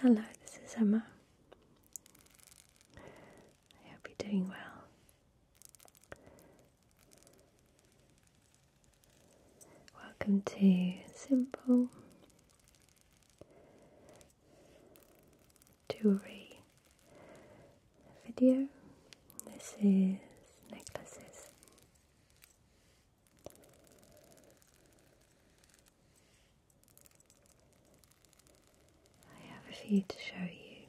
Hello, this is Emma. I hope you're doing well. Welcome to Simple Jewelry video. This is necklaces. I have a few to show you,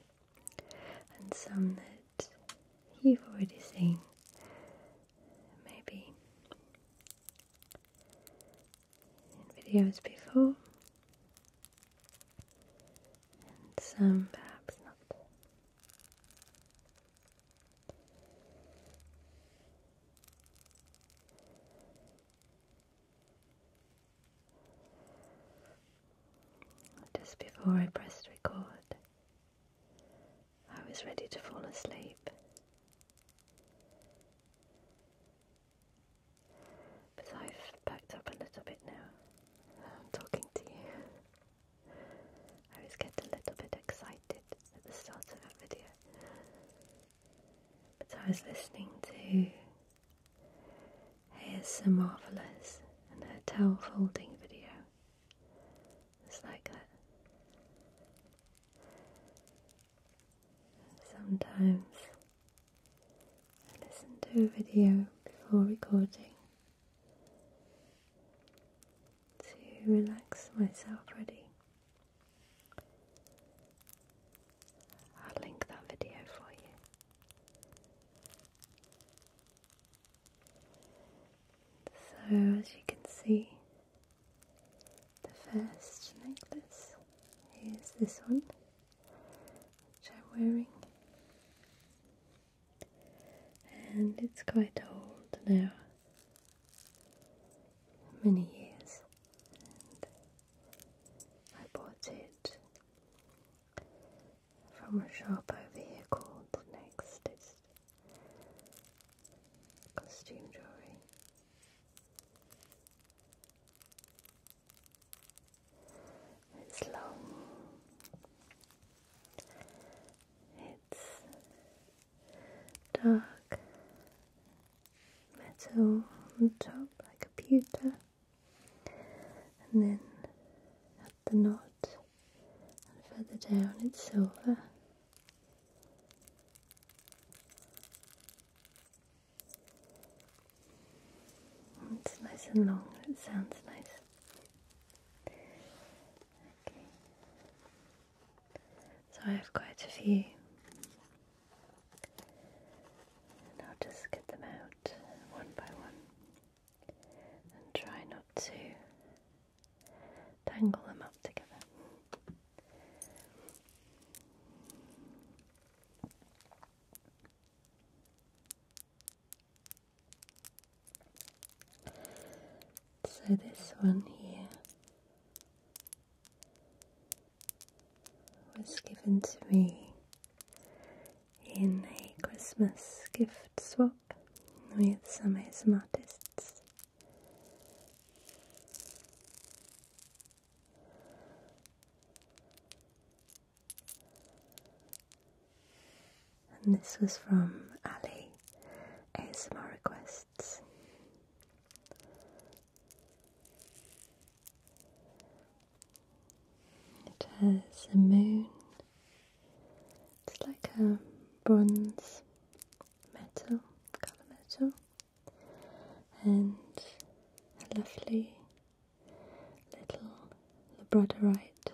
and some that you've already seen, maybe in videos before, and some perhaps not. Just before I pressed record, I was ready to fall asleep. But I've backed up a little bit now. I'm talking to you. I always get a little bit excited at the start of a video. But I was listening to ASMR Marvelous and her towel folding video. It's like that. Sometimes I listen to a video before recording to relax myself ready. I'll link that video for you. So, as you can see, the first necklace is this one, which I'm wearing and it's quite old now, many years. And I bought it from a shop over here called Nextest Costume Jewelry. It's long it's dark metal on top, like a pewter, and then at the knot, and further down, it's silver. It's nice and long, it sounds nice. So I have quite a few. And I'll just get them out one by one and try not to tangle them up together. So this one here was given to me in a Christmas gift swap with some ASM artists and this was from Ali ASMR Requests. It has a moon, it's like a bronze metal, colour metal, and a lovely little labradorite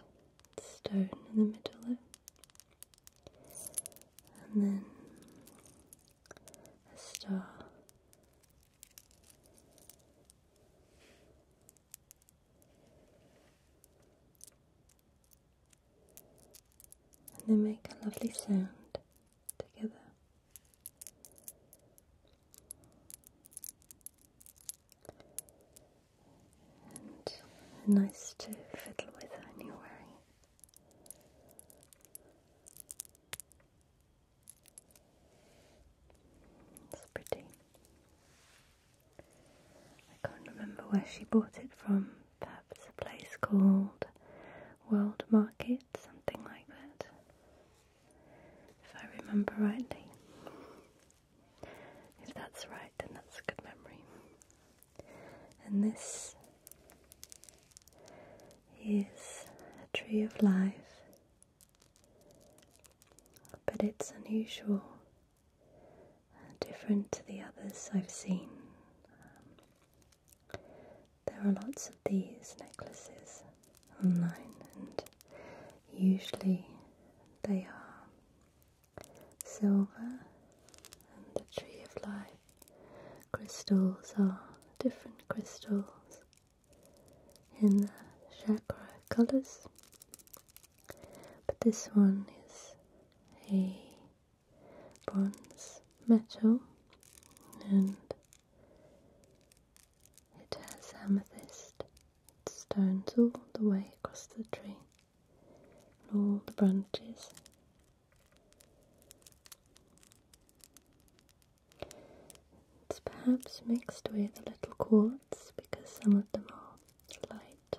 stone in the middle there and then a star. And they make a lovely sound together and nice to fiddle with anyway. It's pretty. I can't remember where she bought it from. Perhaps a place called World Market, something like that, if I remember rightly. If that's right, then that's a good memory and this is a tree of life, but it's unusual, different to the others I've seen. there are lots of these necklaces online, and usually they are silver, and the tree of life crystals are different crystals in the chakra colors, but this one is a bronze metal and it has amethyst. stones all the way across the tree all the branches. It's perhaps mixed with a little quartz because some of them are light.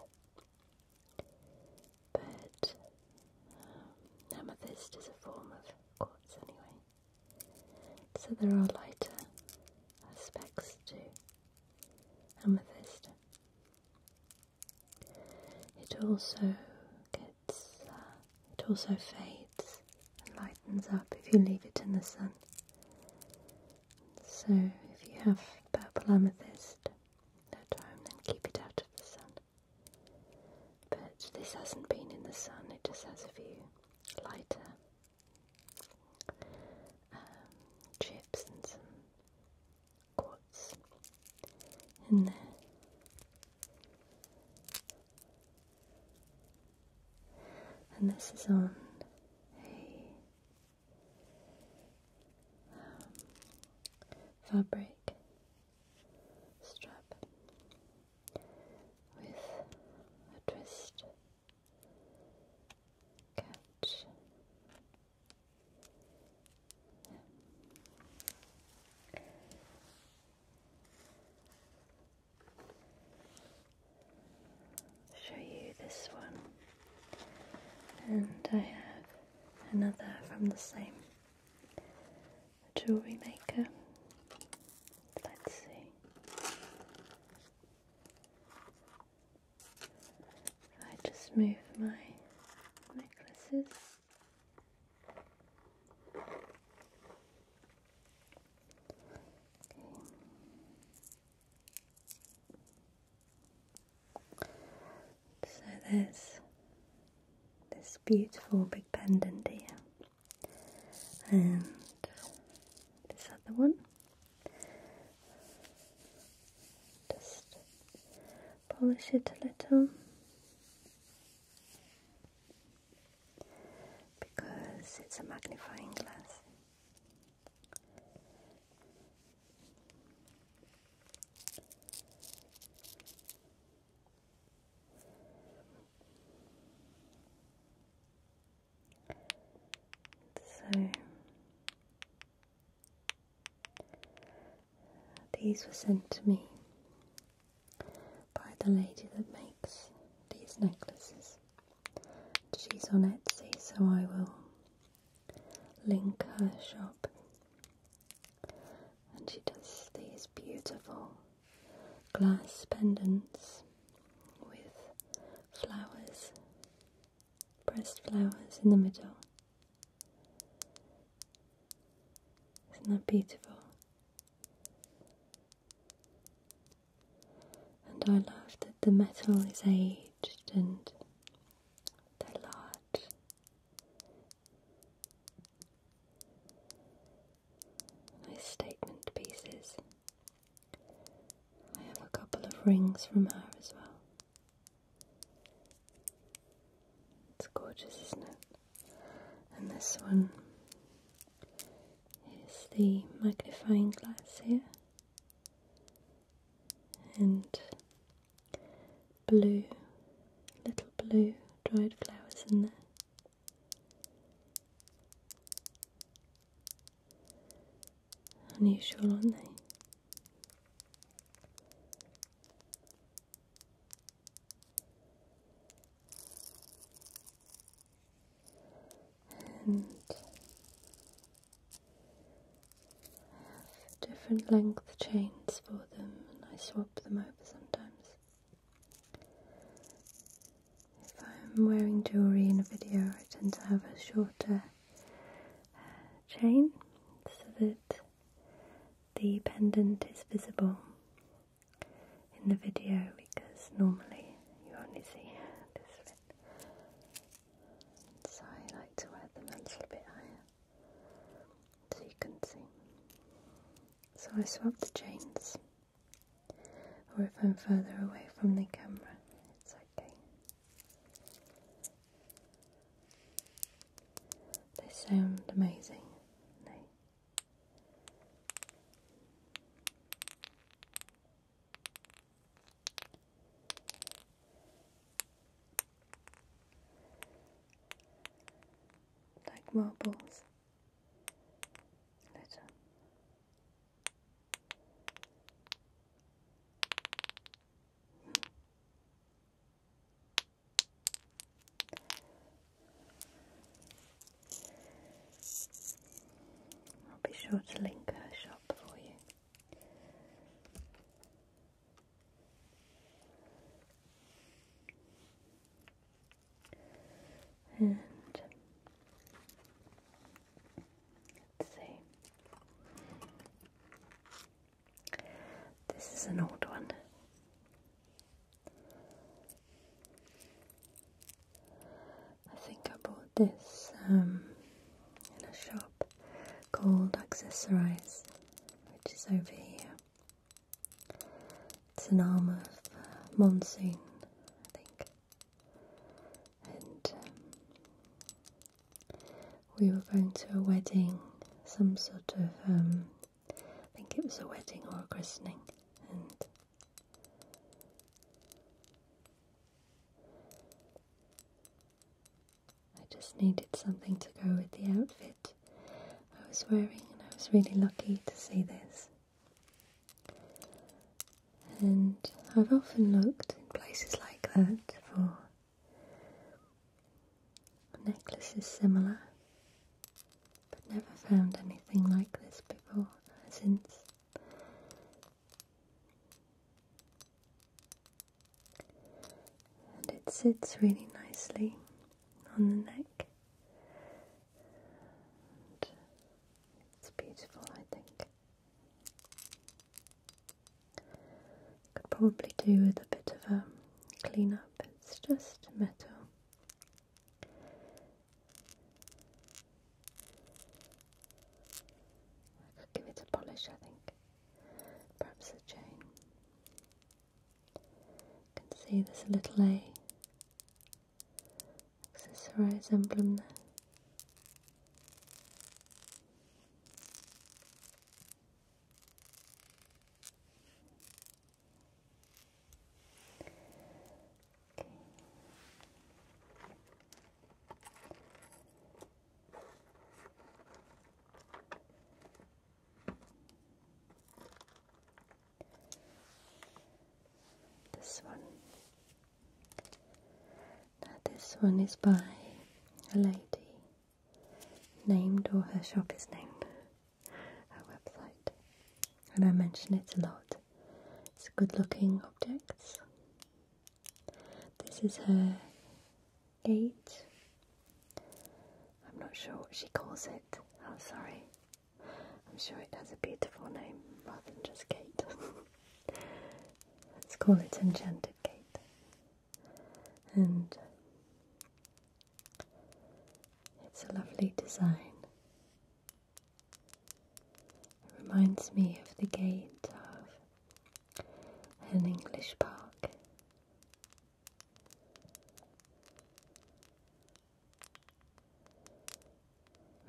But um, amethyst is a form of quartz anyway. So there are lighter aspects to amethyst. It also gets, uh, it also fades and lightens up if you leave it in the sun. So if you have purple amethyst at home, then keep it out of the sun. But this hasn't been in the sun, it just has a few lighter um, chips and quotes in there. And this is on a um, fabric strap with a twist catch Show you this one, and I have another from the same jewelry maker. Let's see. I just move my necklaces? Okay. So there's this beautiful big pendant here, and this other one, just polish it a little because it's a magnifying glass. So these were sent to me by the lady that makes these necklaces. She's on Etsy, so I will link her shop. And she does these beautiful glass pendants with flowers, pressed flowers in the middle, isn't that beautiful? And I love that the metal is aged and the large. Nice statement pieces. I have a couple of rings from her as well. It's gorgeous, isn't it? And this one is the magnifying glass here, and blue, little blue dried flowers in there. Unusual, aren't they? And have different length chains for them, and I swap them over sometimes. If I'm wearing jewellery in a video, I tend to have a shorter uh, chain so that the pendant is visible in the video because normally you only see this bit. So I like to wear them a little bit higher so you can see. So I swap the chains, or if I'm further away from the camera, it's okay. They sound amazing. Like marbles. Little. I'll be sure to link her shop for you. And let's see. This is an old one. I think I bought this um, in a shop called Accessorize, which is over here. It's an arm of uh, monsoon, I think. Um, we were going to a wedding, some sort of, um, I think it was a wedding or a christening, and I just needed something to go with the outfit I was wearing, and I was really lucky to see this. And I've often looked in places like that for necklace is similar, but never found anything like this before since. And it sits really nicely on the neck. it's beautiful, I think. Could probably do with a bit of a clean up, it's just metal. I could give it a polish, I think. Perhaps a chain. You can see there's a little A accessorize emblem there. This one. Now this one is by a lady named or her shop is named, her website. And I mention it a lot. It's good looking objects. This is her gate. I'm not sure what she calls it. I'm oh, sorry. I'm sure it has a beautiful name rather than just gate. Let's call it Enchanted Gate. And it's a lovely design. It reminds me of the gate of an English park.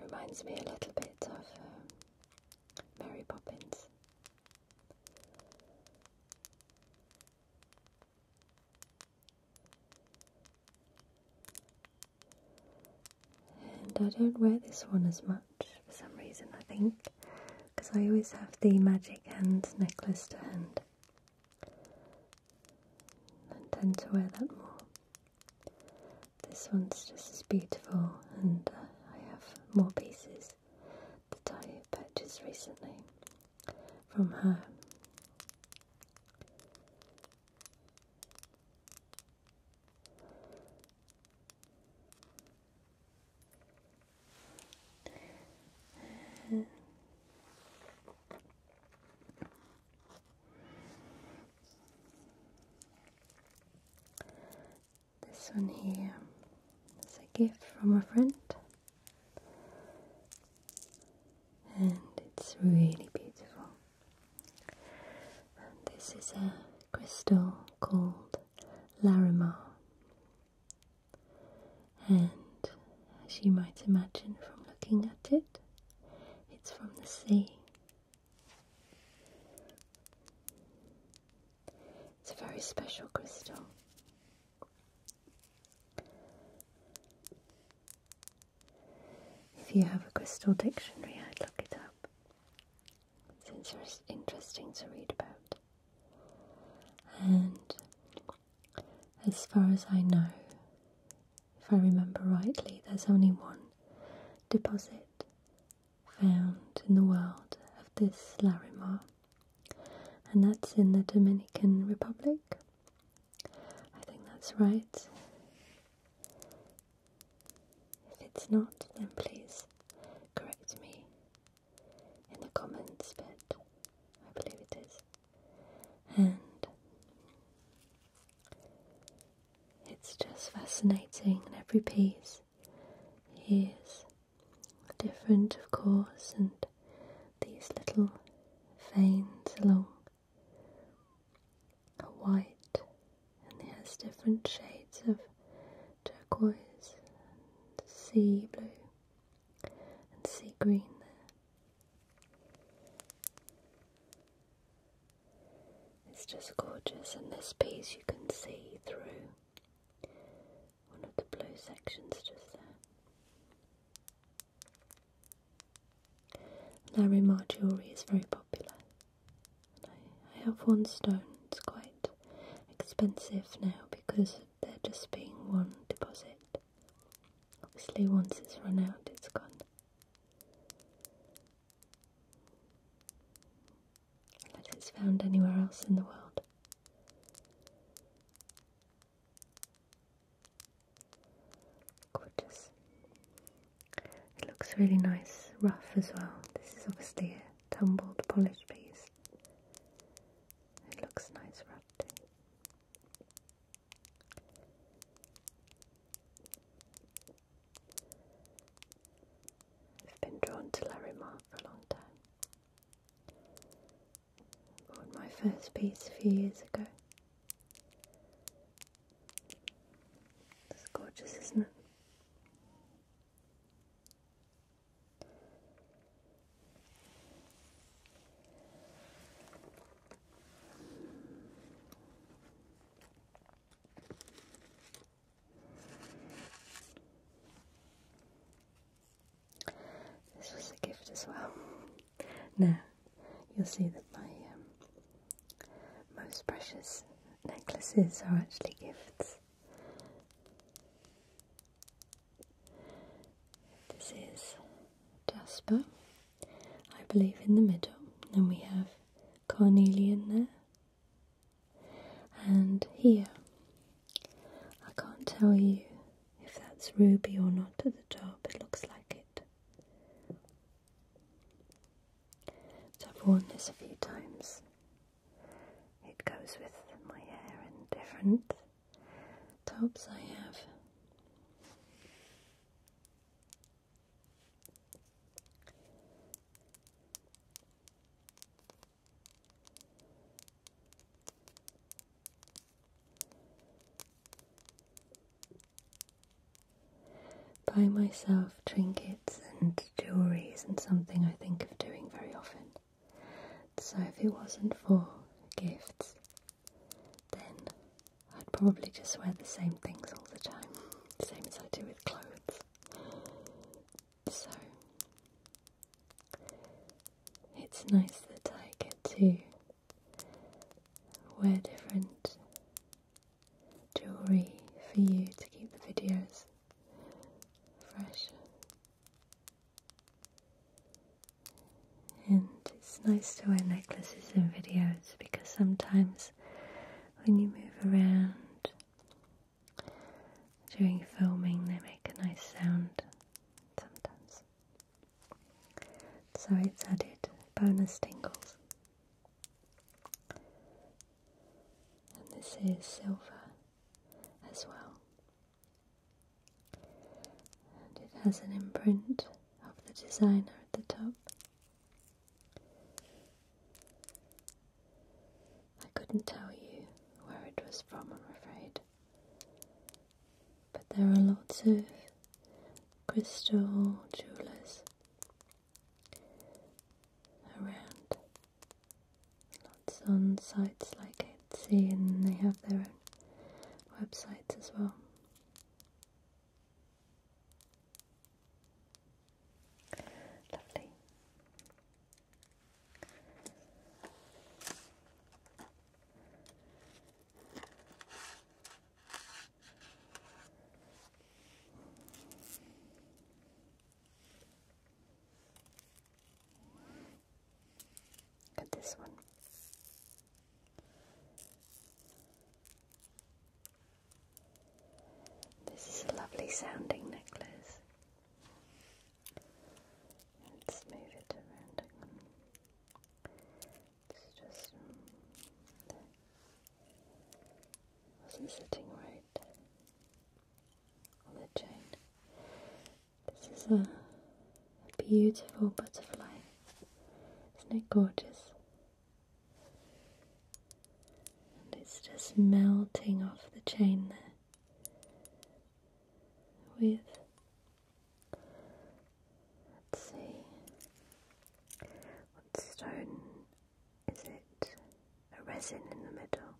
Reminds me a little bit of um, Mary Poppins. And I don't wear this one as much for some reason, I think, because I always have the magic hands necklace to hand. I to wear that more. This one's just as beautiful, and uh, I have more pieces that I purchased recently from her. This one here is a gift from a friend and it's really beautiful. this is a crystal called Larimar, and as you might imagine from looking at it, it's from the sea. It's a very special crystal. If you have a crystal dictionary, I'd look it up since it's interesting to read about. And as far as I know, if I remember rightly, there's only one deposit found in the world of this Larimar and that's in the Dominican Republic. I think that's right. If it's not, then please correct me in the comments, but I believe it is. And it's just fascinating, and every piece is different, of course, and these little veins along are white, and it has different shades of turquoise sea blue and sea green. There, it's just gorgeous, and this piece you can see through one of the blue sections just there. Larimar jewellery is very popular. I, I have one stone, it's quite expensive now because they're just being one deposit. Obviously, once it's run out, it's gone. Unless it's found anywhere else in the world. Gorgeous. It looks really nice, rough as well. This is obviously a tumbled polished piece. It looks nice rough I've been drawn to Larimar for a long time bought my first piece a few years ago. It's gorgeous, isn't it? This was a gift as well. Now, you'll see that my um, most precious necklaces are actually gifts. This is Jasper, I believe, in the middle, and we have Carnelian there, and here. I can't tell you if that's ruby or not at the top, it looks like it. So I've worn this a few times. It goes with my hair and different tops I have. Buy myself trinkets and jewellery isn't something I think of doing very often. So if it wasn't for gifts, then I'd probably just wear the same things all the time, same as I do with clothes. So it's nice that I get to wear different jewellery for you to keep the videos fresh. And it's nice to wear necklaces in videos because sometimes when you move around during filming, they make a nice sound sometimes. So it's added bonus tingle, And this is silver as well. And it has an imprint of the designer at the top. I couldn't tell you where it was from, I'm afraid. But there are lots of crystal jewelers around. Lots on sites like Etsy, and they have their own websites as well. Lovely at this one. This is a lovely sounding necklace. Let's move it around. It's just mm, wasn't sitting right on the chain. This is a, a beautiful butterfly. Isn't it gorgeous? And it's just melting off the chain there with Let's see. What stone is it? A resin in the middle.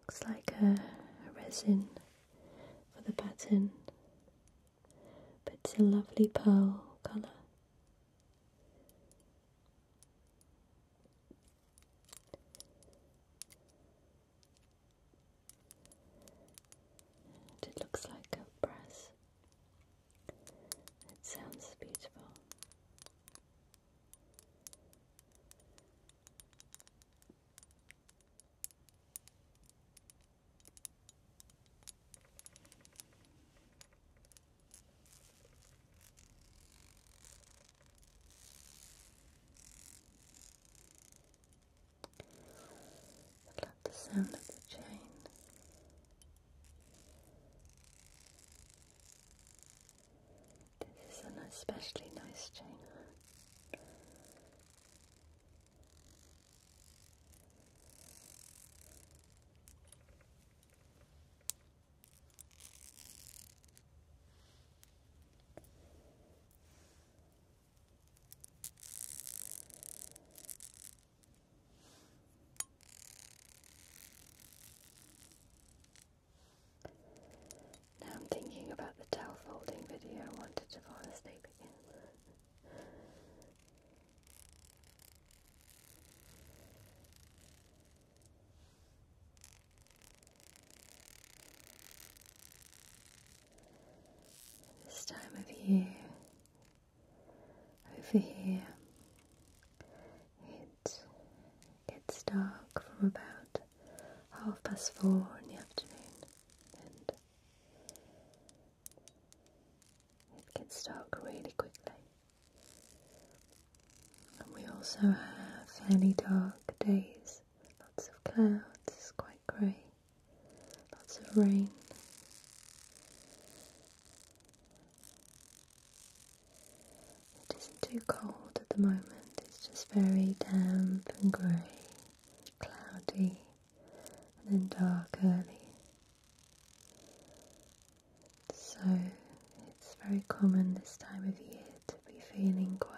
Looks like a, resin for the pattern, but it's a lovely pearl colour it looks like a brass. It sounds beautiful. I love the sound of the chain. This is an especially nice chain. Now I'm thinking about the towel folding video I wanted to fall asleep again. This time of year, over here, it gets dark from about half past four in the afternoon, and it gets dark really quickly. And we also have many dark days, lots of clouds, grey, lots of rain. It isn't too cold at the moment, it's just very damp and grey, cloudy, and then dark early. So it's very common this time of year to be feeling quite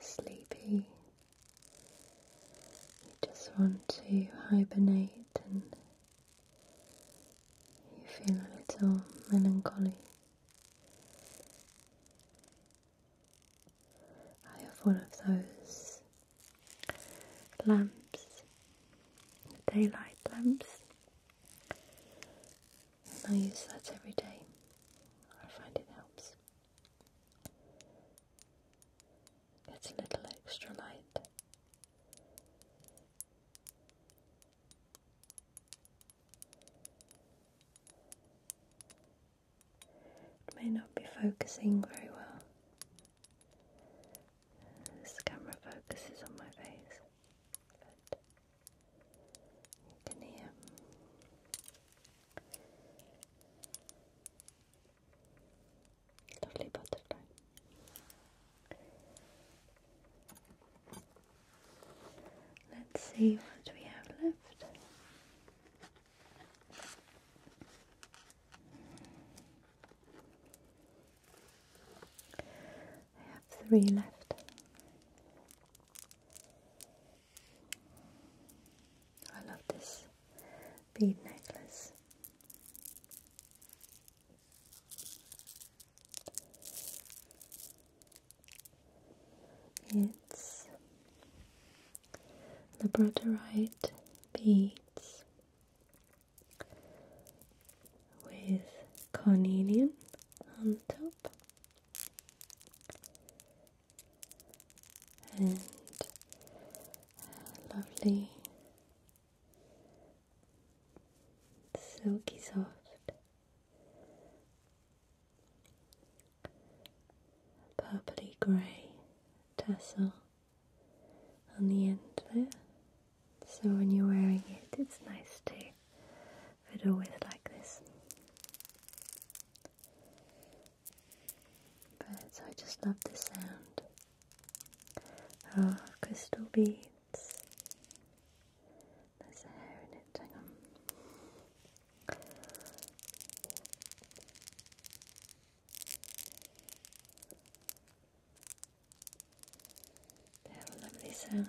sleepy. You just want to hibernate and you feel a little melancholy. I have one of those lamps, daylight lamps. I use that every day. I find it helps. Gets a little extra light. It may not be focusing very well. This camera focuses on my face, Genau. Lovely butterfly. Let's see what we have left. I have three left. I love this bead necklace. It's labradorite beads with carnelian on top and lovely, silky soft, purpley grey tassel on the end there. So when you're wearing it, it's nice to fiddle with like this. But I just love the sound of crystal beads. There's hair in it, hang on. They have a lovely sound.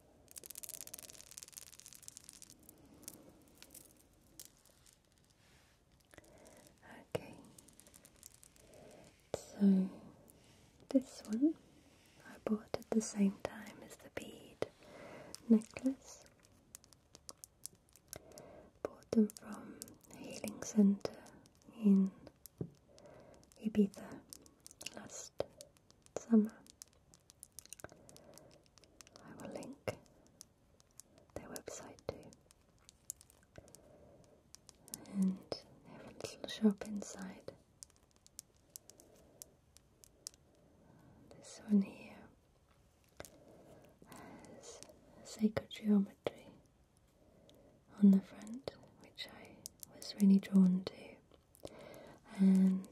Okay, so this one I bought at the same time as the bead necklace. Bought them from a healing center in Ibiza last summer. I will link their website too. And they have a little shop inside. This one here has sacred geometry on the front, which I was really drawn to, and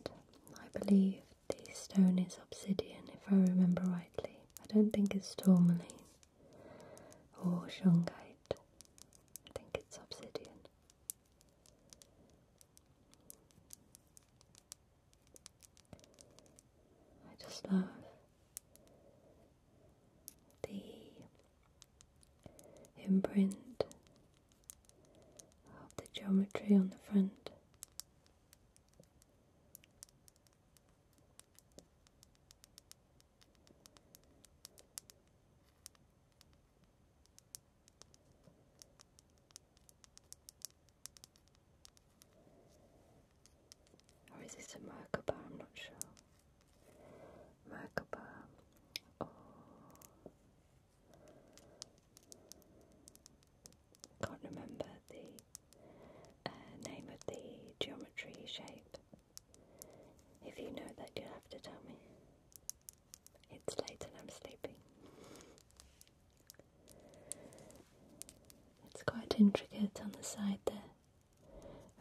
I believe the stone is obsidian, if I remember rightly. I don't think it's tourmaline or shungite. I think it's obsidian. I just love the imprint of the geometry on the front or is this a marker I'm not sure. Marker can't remember the uh, name of the geometry shape. If you know that, you'll have to tell me. It's late and I'm sleeping. It's quite intricate on the side there,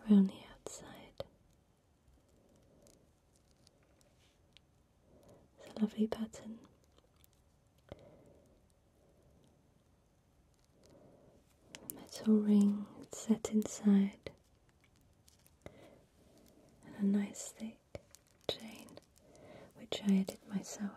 around the outside. It's a lovely pattern. Metal ring set inside, and a nice thick chain which I did myself.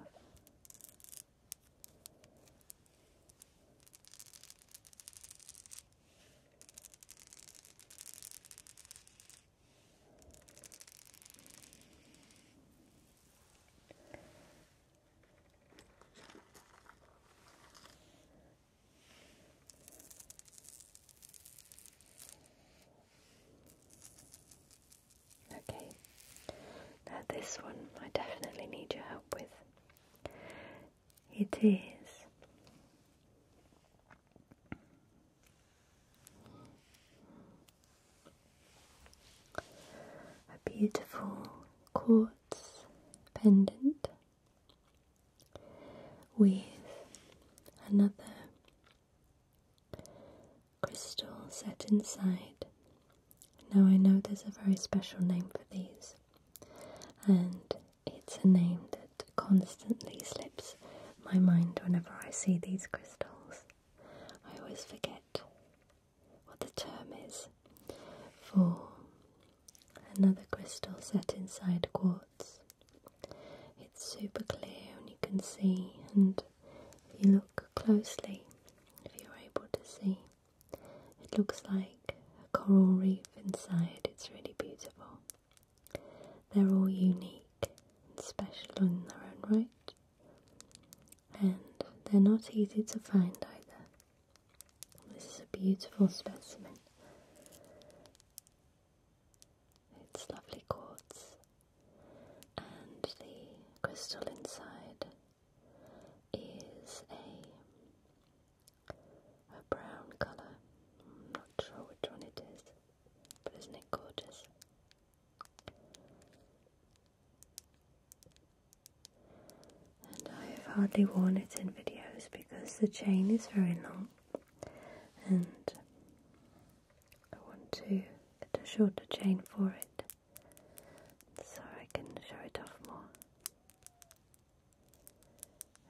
Okay, now this one I definitely need your help with. It is a beautiful quartz pendant with another crystal set inside. Now, I know there's a very special name for these, and it's a name that constantly slips my mind whenever I see these crystals. I always forget what the term is for another crystal set inside quartz. It's super clear and you can see, and if you look closely, if you're able to see, it looks like a coral reef inside. It's really beautiful. They're all unique and special in their own right and they're not easy to find either. This is a beautiful specimen. It's lovely quartz, and the crystal inside is a a brown colour. I'm not sure which one it is, but it's not it gorgeous? And I have hardly worn it in videos because the chain is very long and I want to get a shorter chain for it so I can show it off more.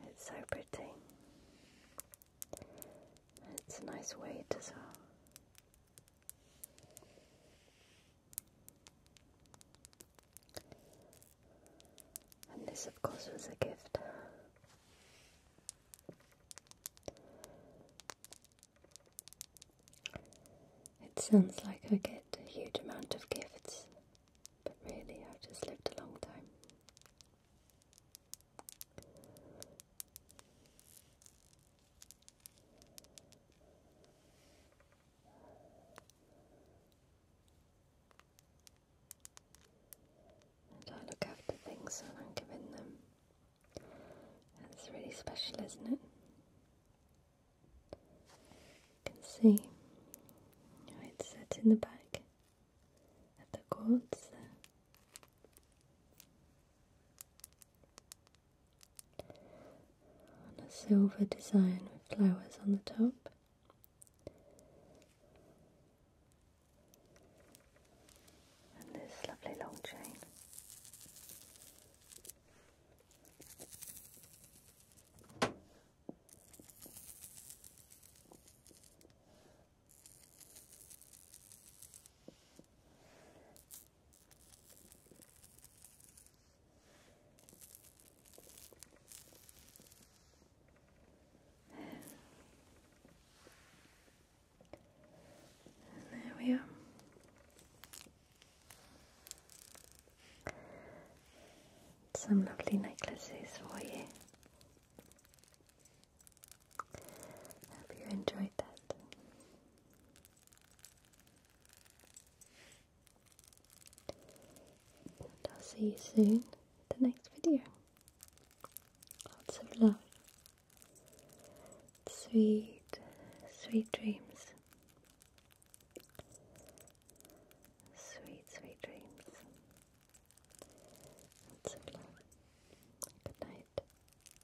It's so pretty. It's a nice weight as and this, of course, was a gift. It sounds like I get a huge amount of gifts, but really I've just lived a long time. And I look after things and I'm giving them. It's really special, isn't it? You can see it's set in the back at the cords on a silver design with flowers on the top. And this lovely long chain there we are. Some lovely necklaces for you. Hope you enjoyed that. And I'll see you soon in the next video. Lots of love. Sweet, sweet dreams. Sweet, sweet dreams. Lots of love. Good night.